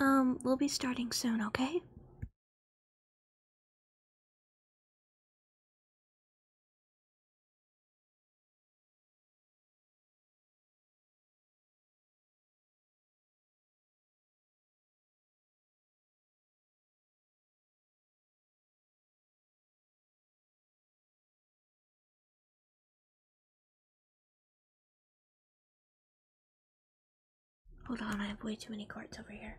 Um, we'll be starting soon, okay? Hold on, I have way too many cards over here.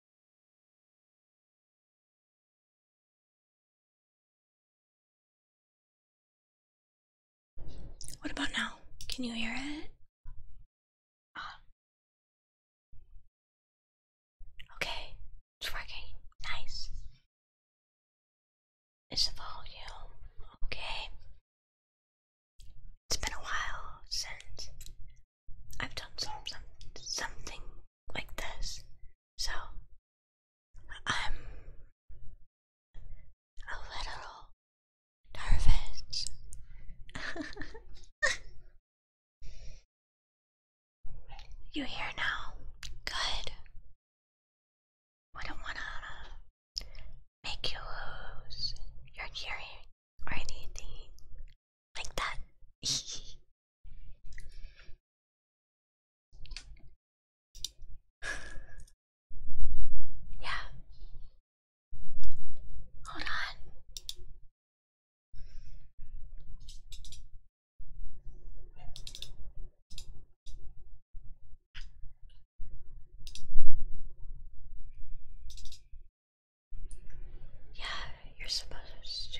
What about now? Can you hear it? Ah. Okay, it's Nice. Is volume okay? It's been a while since I've done some something like this. So I'm a little nervous. you here now? Good. Wouldn't wanna make you lose your hearing or anything like that. yeah. Hold on. Yeah, you're supposed to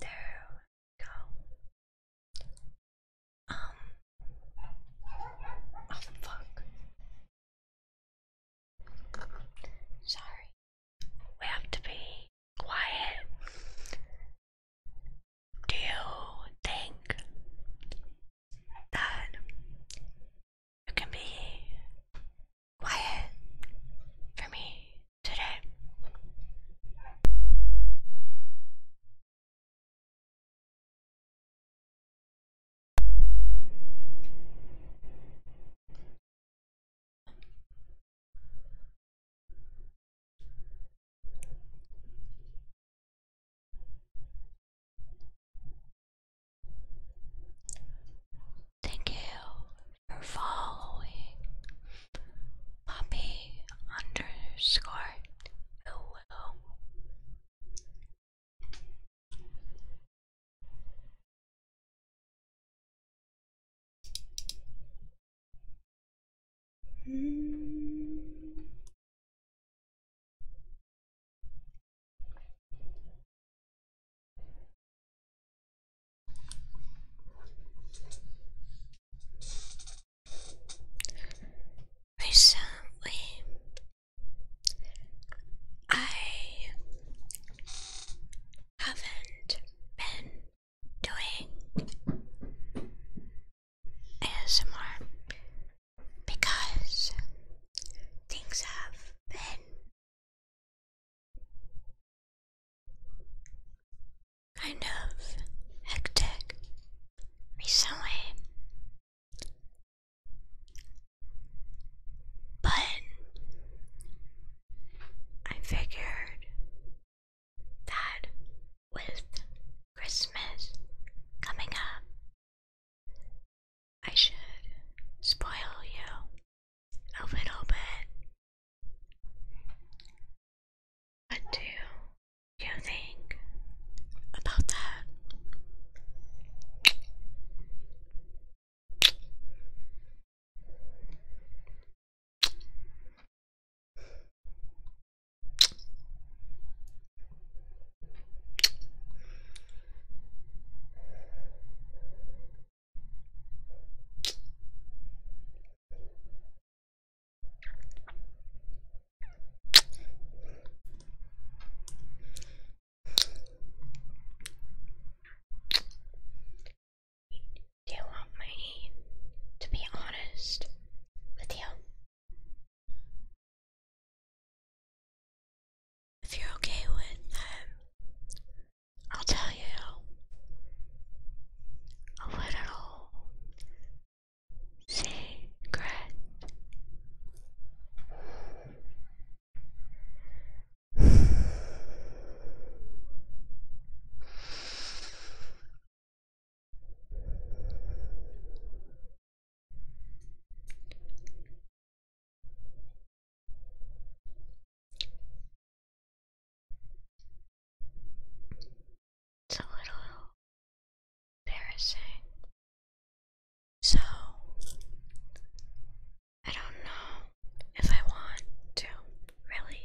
There we go. Um. Oh fuck. Sorry. We have to be quiet. Do you think that you can be quiet for me? today Thank you for following Poppy underscore Willow. Hmm. Recently, I haven't been doing ASMR because things have been kind of hectic recently. But I figured that with Christmas coming up, I should spoil you a little bit. What do you think about that? Do you want me to be honest with you? If you're okay with that. Um, I'll tell you a little secret. It's a little embarrassing. So, I don't know if I want to really.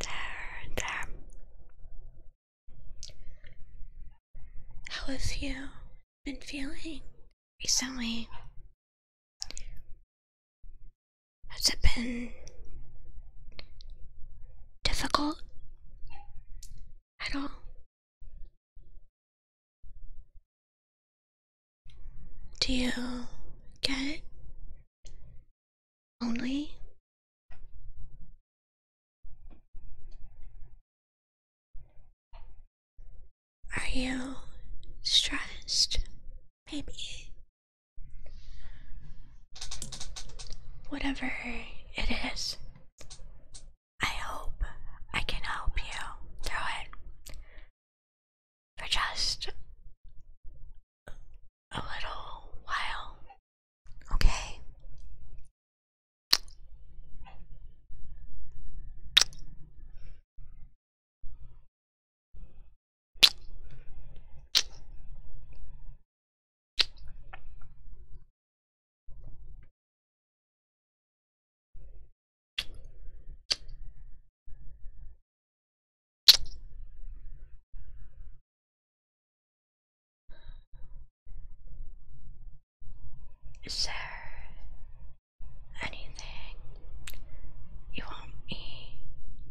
There, there. How have you been feeling recently? Has it been difficult at all? Do you get it? Only? Are you stressed? Maybe. Whatever it is, I hope I can help you through it for just a little while. Okay. Sir, anything you want me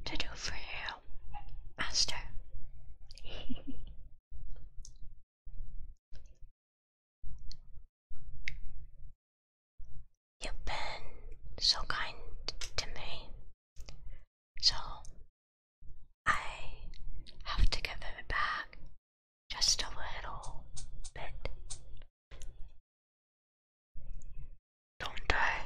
to do for you, Master? You've been so kind to me, so I have to give it back just a little bit. Don't I?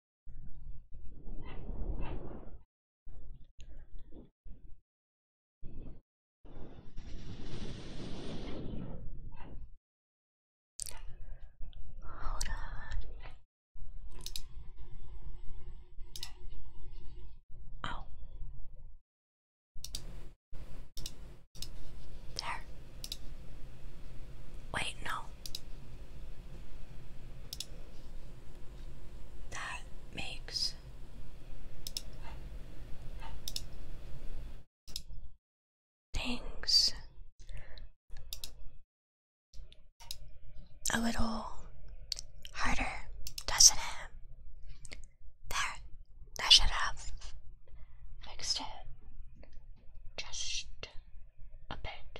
Hold on. Oh. There. Wait, no that makes. Things a little harder, doesn't it? There, that should have fixed it just a bit.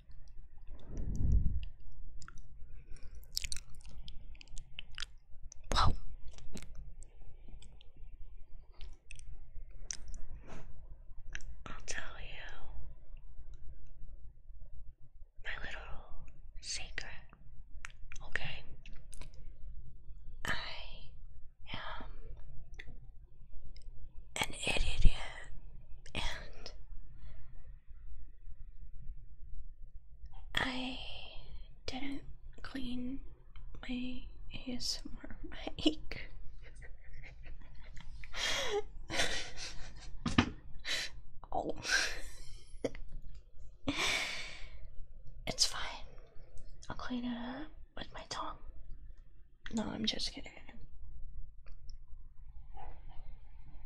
Whoa. I'll tell you my little secret, okay? I am an idiot and I didn't clean my ASMR mic. oh. it's fine. I'll clean it up with my tongue. No, I'm just kidding.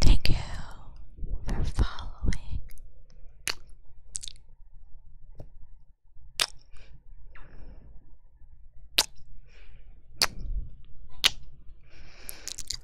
Thank you for following.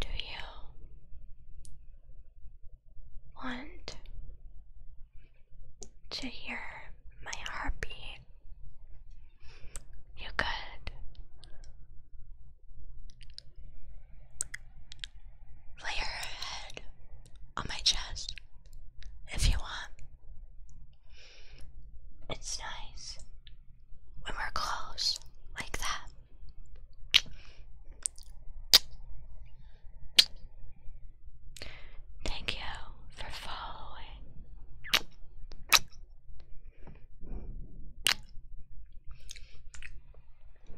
Do you want to hear my heartbeat? You could Lay your head on my chest if you want. It's nice when we're close like that. Thank you for following.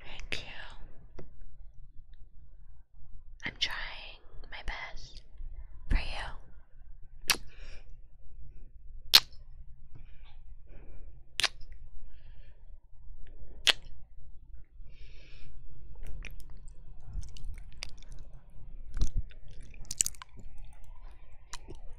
Thank you. I'm trying my best for you.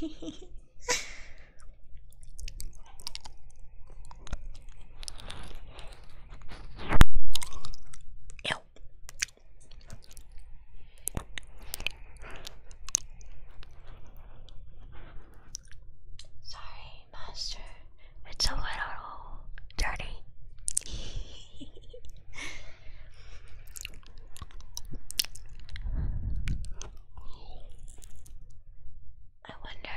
Ew. Sorry, Master. It's a little dirty. I wonder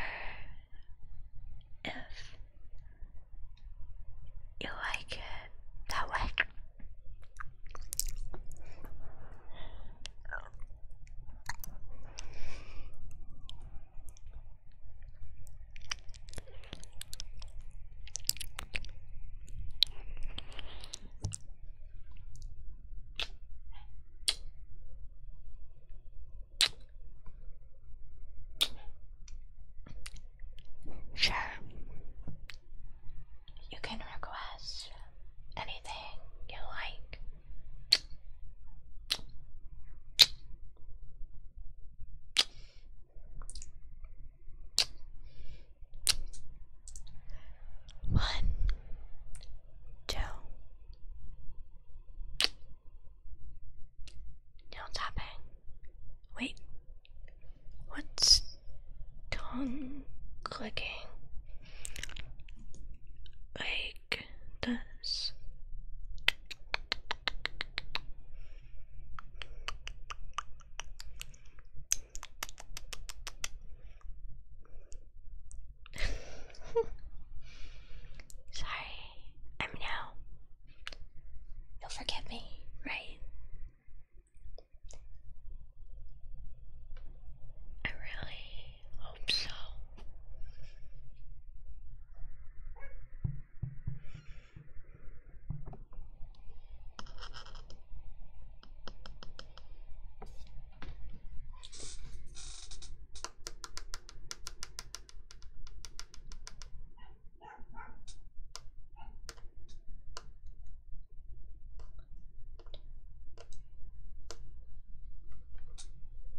if you like it that way. Sure. You can request anything you like. One, two. No tapping. Wait. What's tongue clicking? Like this. Sorry, I'm You'll forgive me, right? I really hope so.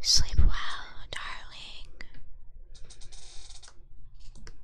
Sleep well, darling.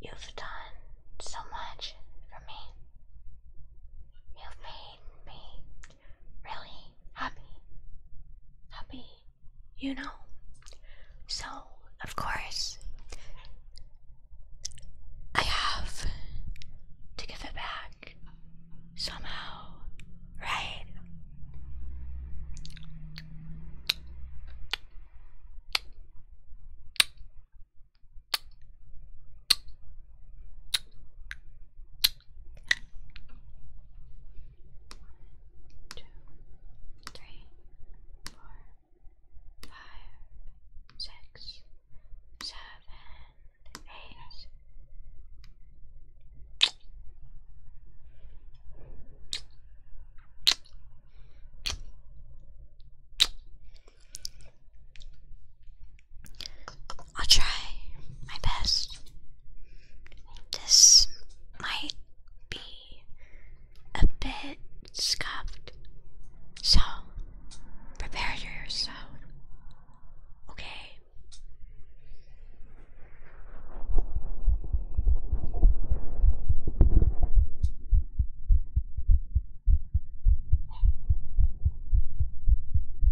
You've done so much for me. You've made me really happy, happy, you know. So, of course, I have to give it back somehow, right? two, three, four, five, six, seven, eight. I'll try my best. This might be a bit scuffed, so prepare yourself, okay?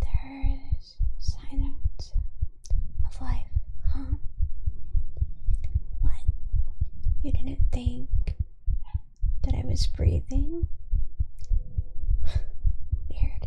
There is silence of life, huh? What? You didn't think that I was breathing? Weird.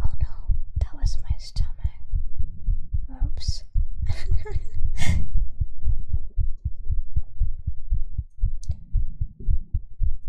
Oh no, that was my stomach. Oops.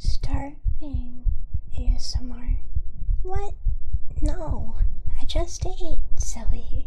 Starving ASMR. What? No, I just ate, silly.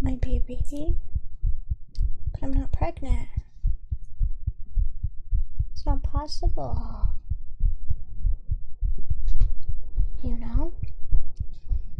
Might be a baby, but I'm not pregnant. It's not possible. You know?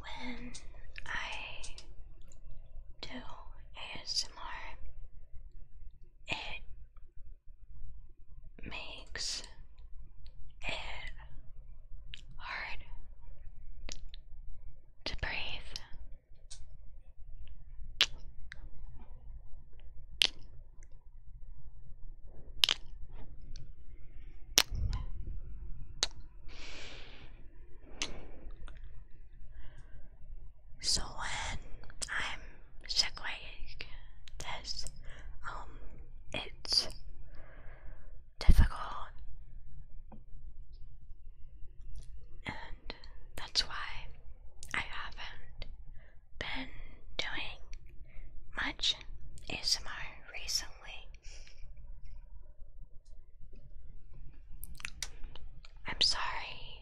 When I do ASMR, it makes it hard to breathe. So when I'm segueing this, um, it's difficult, and that's why I haven't been doing much ASMR recently. I'm sorry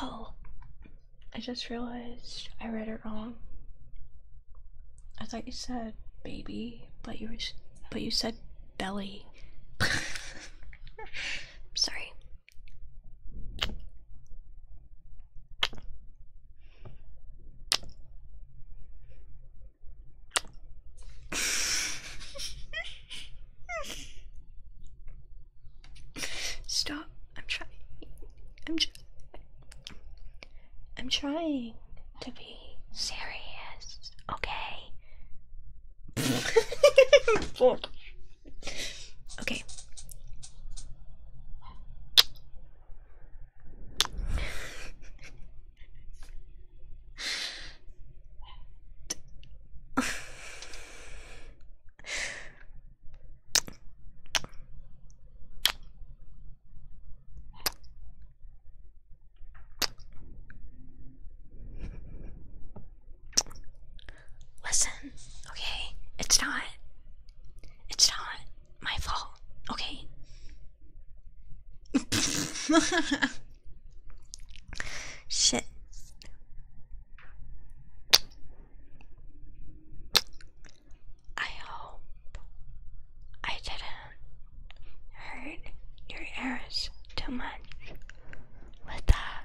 Oh, I just realized I read it wrong. I thought you said baby, but you were, but you said belly. Sorry. Stop. I'm trying. I'm tr I'm trying to be serious, okay? okay. Listen, okay? It's not. It's not my fault. Okay. Shit. I hope I didn't hurt your ears too much with that.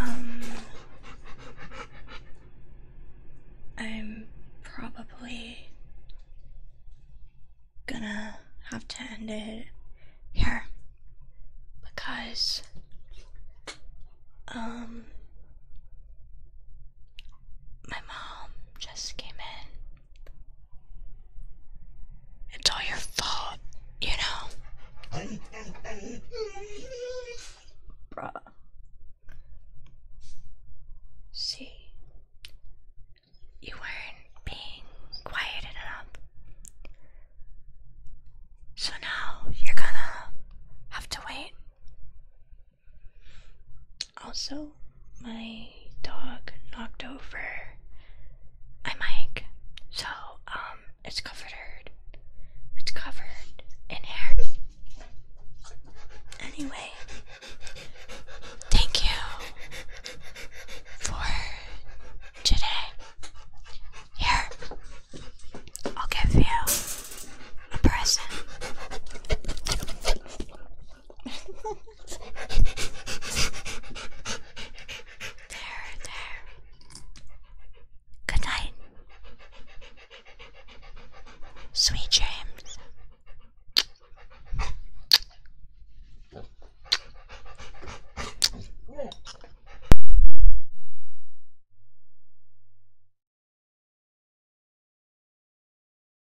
Um, I'm probably gonna have to end it here because, um, my mom just came in it's all your fault, you know? Bruh. See, you weren't being quiet enough. So now you're gonna have to wait also, my dog knocked over my mic, so um, it's covered. It's covered in hair. Anyway, thank you for today. Here, I'll give you a present there, there. Good night. Sweet dreams.